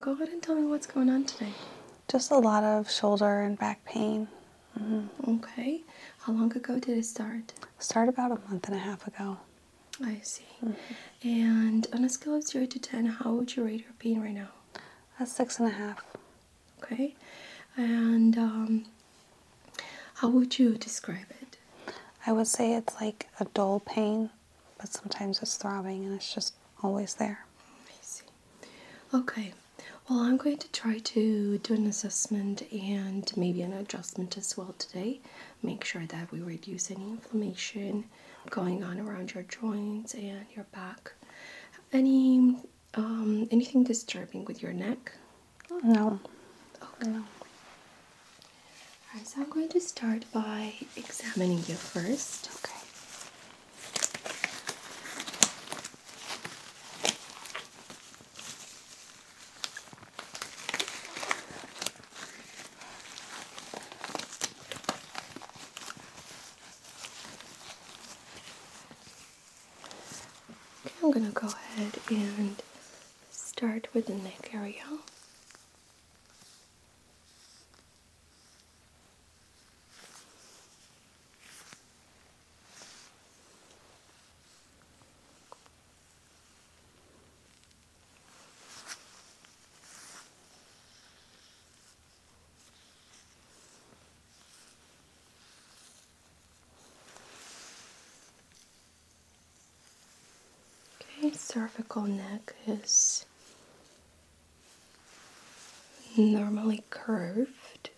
Go ahead and tell me what's going on today. Just a lot of shoulder and back pain. Mm-hmm. Okay. How long ago did it start? Start about a month and a half ago. I see. And on a scale of zero to ten, how would you rate your pain right now? A six and a half. Okay. And um, how would you describe it? I would say it's like a dull pain, but sometimes it's throbbing and it's just always there. I see. Okay. Well, I'm going to try to do an assessment and maybe an adjustment as well today. Make sure that we reduce any inflammation going on around your joints and your back. Any um, anything disturbing with your neck? No. Okay. Alright, so I'm going to start by examining you first. Okay. Okay, I'm going to go ahead and start with the neck area. Okay, cervical neck is normally curved.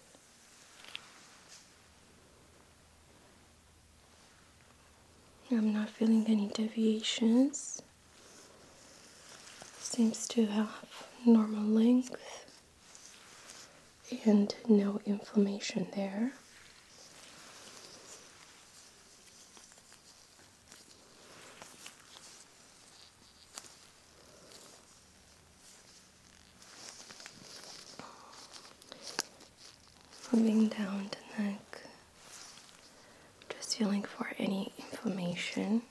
I'm not feeling any deviations. Seems to have normal length and no inflammation there. Moving down to neck, just feeling for any inflammation.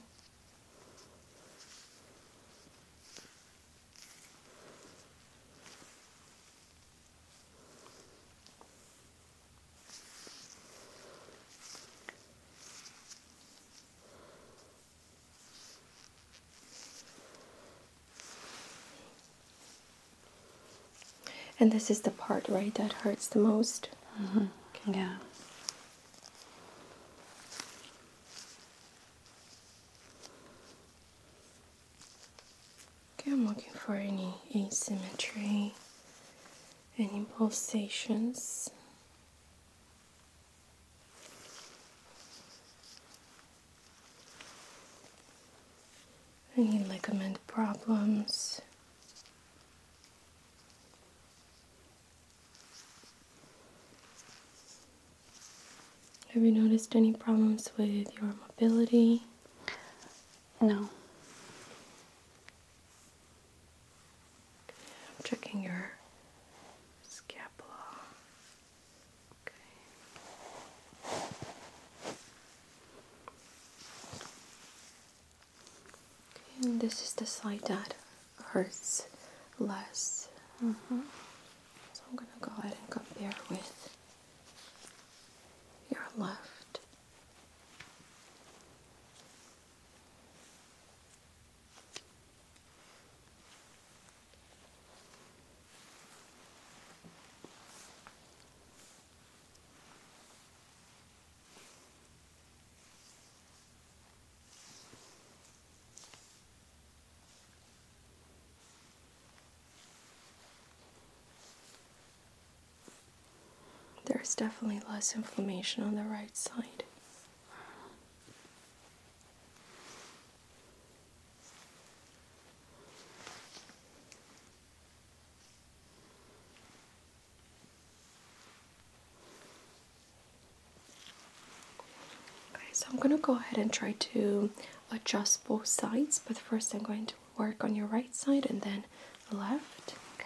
And this is the part, right, that hurts the most? Mm -hmm. Yeah. Okay, I'm looking for any asymmetry, any pulsations. Any ligament problems? Have you noticed any problems with your mobility? No. I'm checking your scapula. Okay. okay this is the side that hurts less. Mm-hmm. So I'm gonna go ahead and compare with your left. There's definitely less inflammation on the right side. Okay, so I'm going to go ahead and try to adjust both sides, but first I'm going to work on your right side and then left. Okay.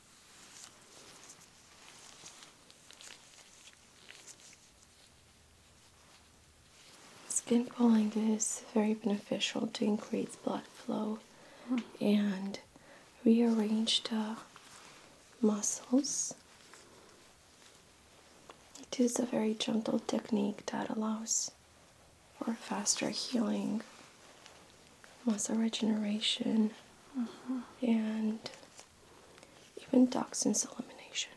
Skin pulling is very beneficial to increase blood flow hmm. and rearrange the uh, muscles. It is a very gentle technique that allows for faster healing, muscle regeneration, mm-hmm. and even toxins elimination.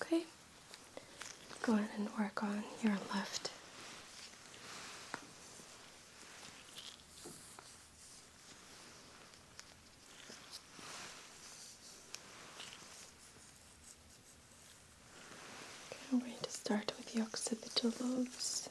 Okay, go ahead and work on your left Okay, we're going to start with the occipital lobes.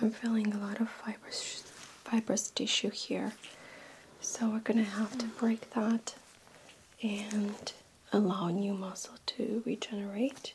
I'm feeling a lot of fibrous, fibrous tissue here, so we're gonna have to break that and allow new muscle to regenerate.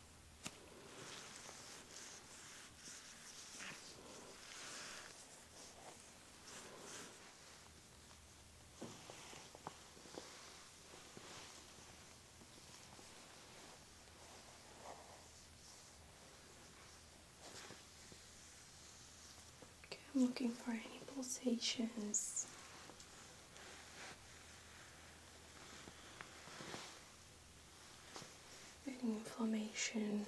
Okay, I'm looking for any pulsations any inflammation.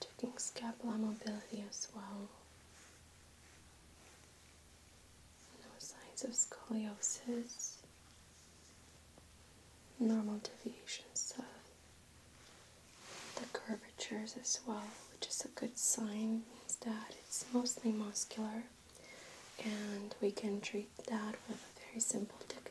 Checking scapula mobility as well. No signs of scoliosis, normal deviation of the curvatures as well, which is a good sign, means that it's mostly muscular and we can treat that with a very simple technique.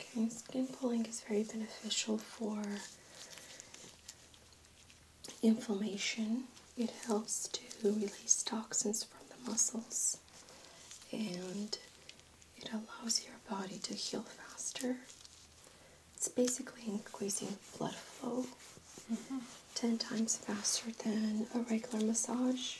Okay, skin pulling is very beneficial for inflammation. It helps to release toxins from the muscles and it allows your body to heal faster. It's basically increasing blood flow. Ten times faster than a regular massage.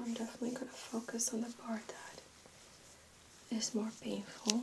I'm definitely going to focus on the part that is more painful.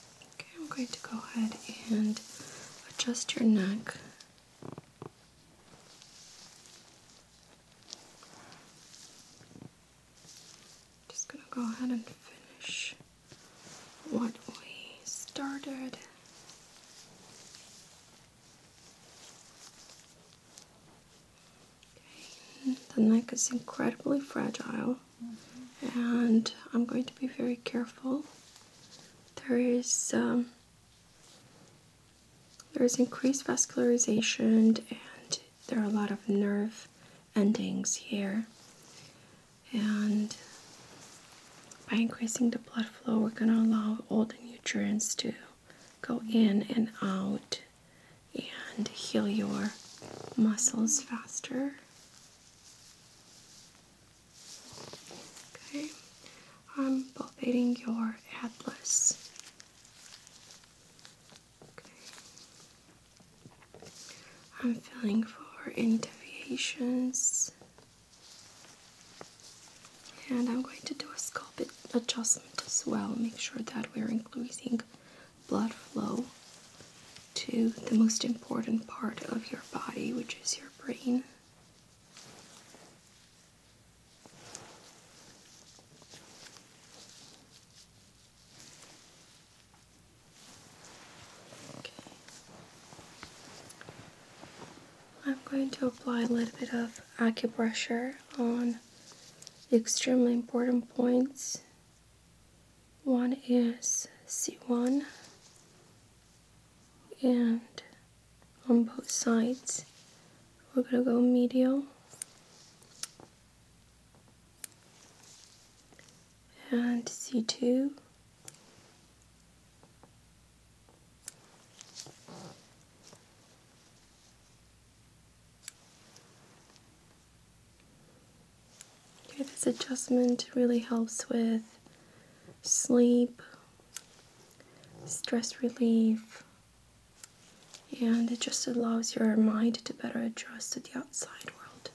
Okay, I'm going to go ahead and adjust your neck. Just gonna go ahead and finish what we started. The neck is incredibly fragile, and I'm going to be very careful. There is um, there is increased vascularization and there are a lot of nerve endings here. And by increasing the blood flow, we're going to allow all the nutrients to go in and out and heal your muscles faster. Okay, I'm palpating your atlas. I'm feeling for any deviations, And I'm going to do a scalp adjustment as well. Make sure that we're increasing blood flow to the most important part of your body, which is your brain. Okay. I'm going to apply a little bit of acupressure on the extremely important points. One is C1 and on both sides we're gonna go medial and C2 this adjustment really helps with sleep, stress relief, and it just allows your mind to better adjust to the outside world.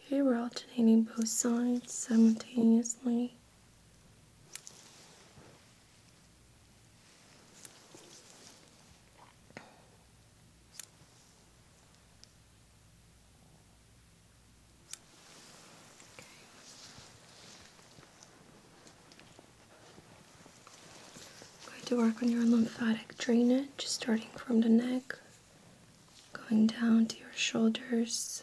Okay, we're alternating both sides simultaneously. I'm going to work on your lymphatic drainage, just starting from the neck, going down to your shoulders.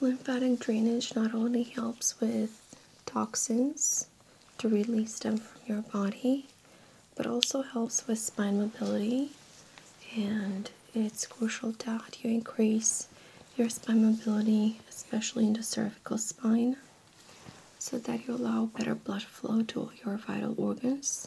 Lymphatic drainage not only helps with toxins to release them from your body, but also helps with spine mobility. And it's crucial that you increase your spine mobility, especially in the cervical spine, so that you allow better blood flow to your vital organs.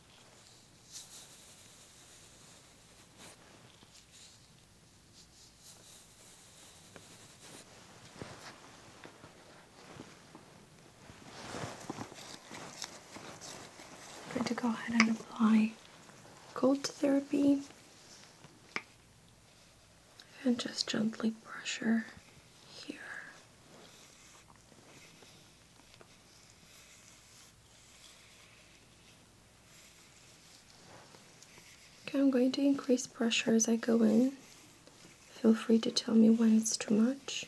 i going to go ahead and apply cold therapy and just gently brush her here. I'm going to increase pressure as I go in. Feel free to tell me when it's too much.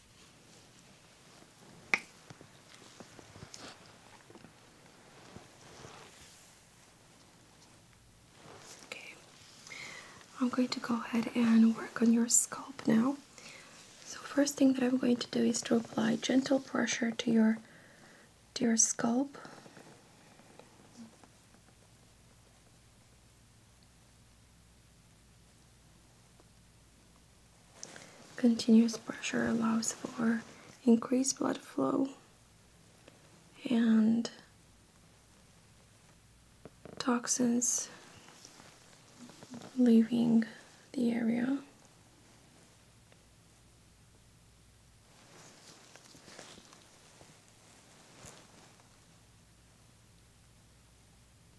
Okay, I'm going to go ahead and work on your scalp now. So first thing that I'm going to do is to apply gentle pressure to your to your scalp. Continuous pressure allows for increased blood flow and toxins leaving the area.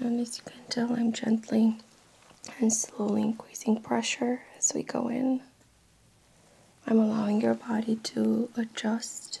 And as you can tell, I'm gently and slowly increasing pressure as we go in. I'm allowing your body to adjust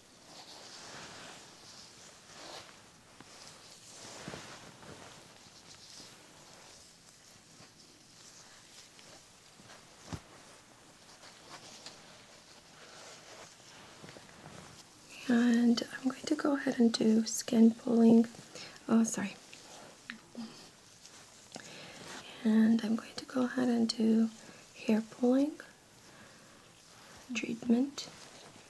And I'm going to go ahead and do skin pulling. Oh, sorry. And I'm going to go ahead and do hair pulling treatment.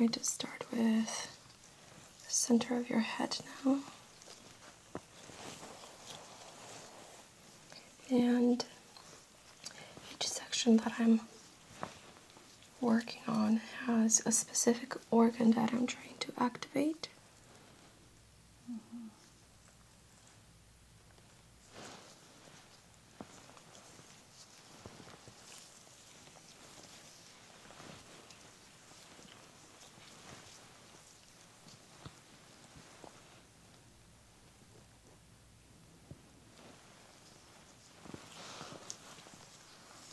I'm going to start with the center of your head now. And each section that I'm working on has a specific organ that I'm trying to activate.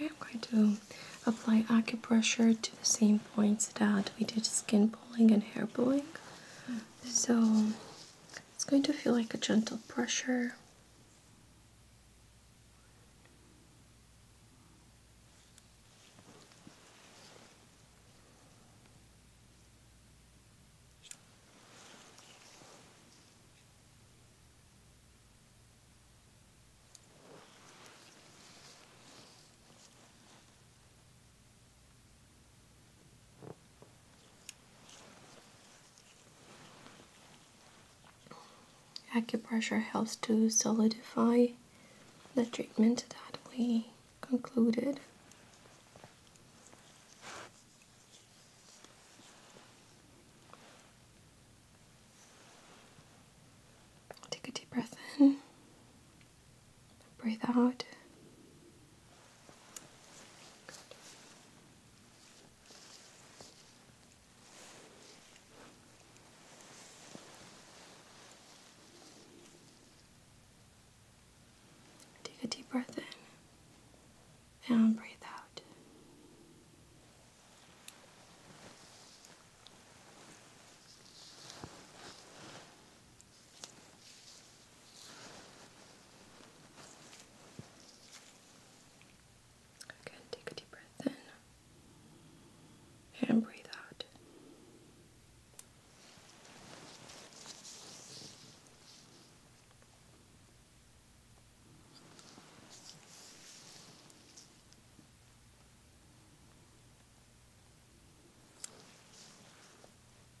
Okay, I'm going to apply acupressure to the same points that we did skin pulling and hair pulling. Hmm. So it's going to feel like a gentle pressure. Acupressure helps to solidify the treatment that we concluded. Take a deep breath in Breathe out. Take a deep breath in and breathe out take a deep breath in and breathe out.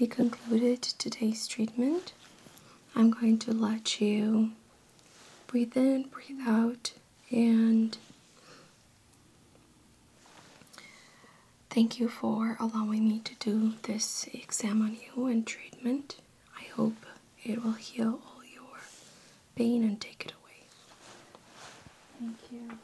We concluded today's treatment. I'm going to let you breathe in, breathe out, and thank you for allowing me to do this exam on you and treatment. I hope it will heal all your pain and take it away. Thank you.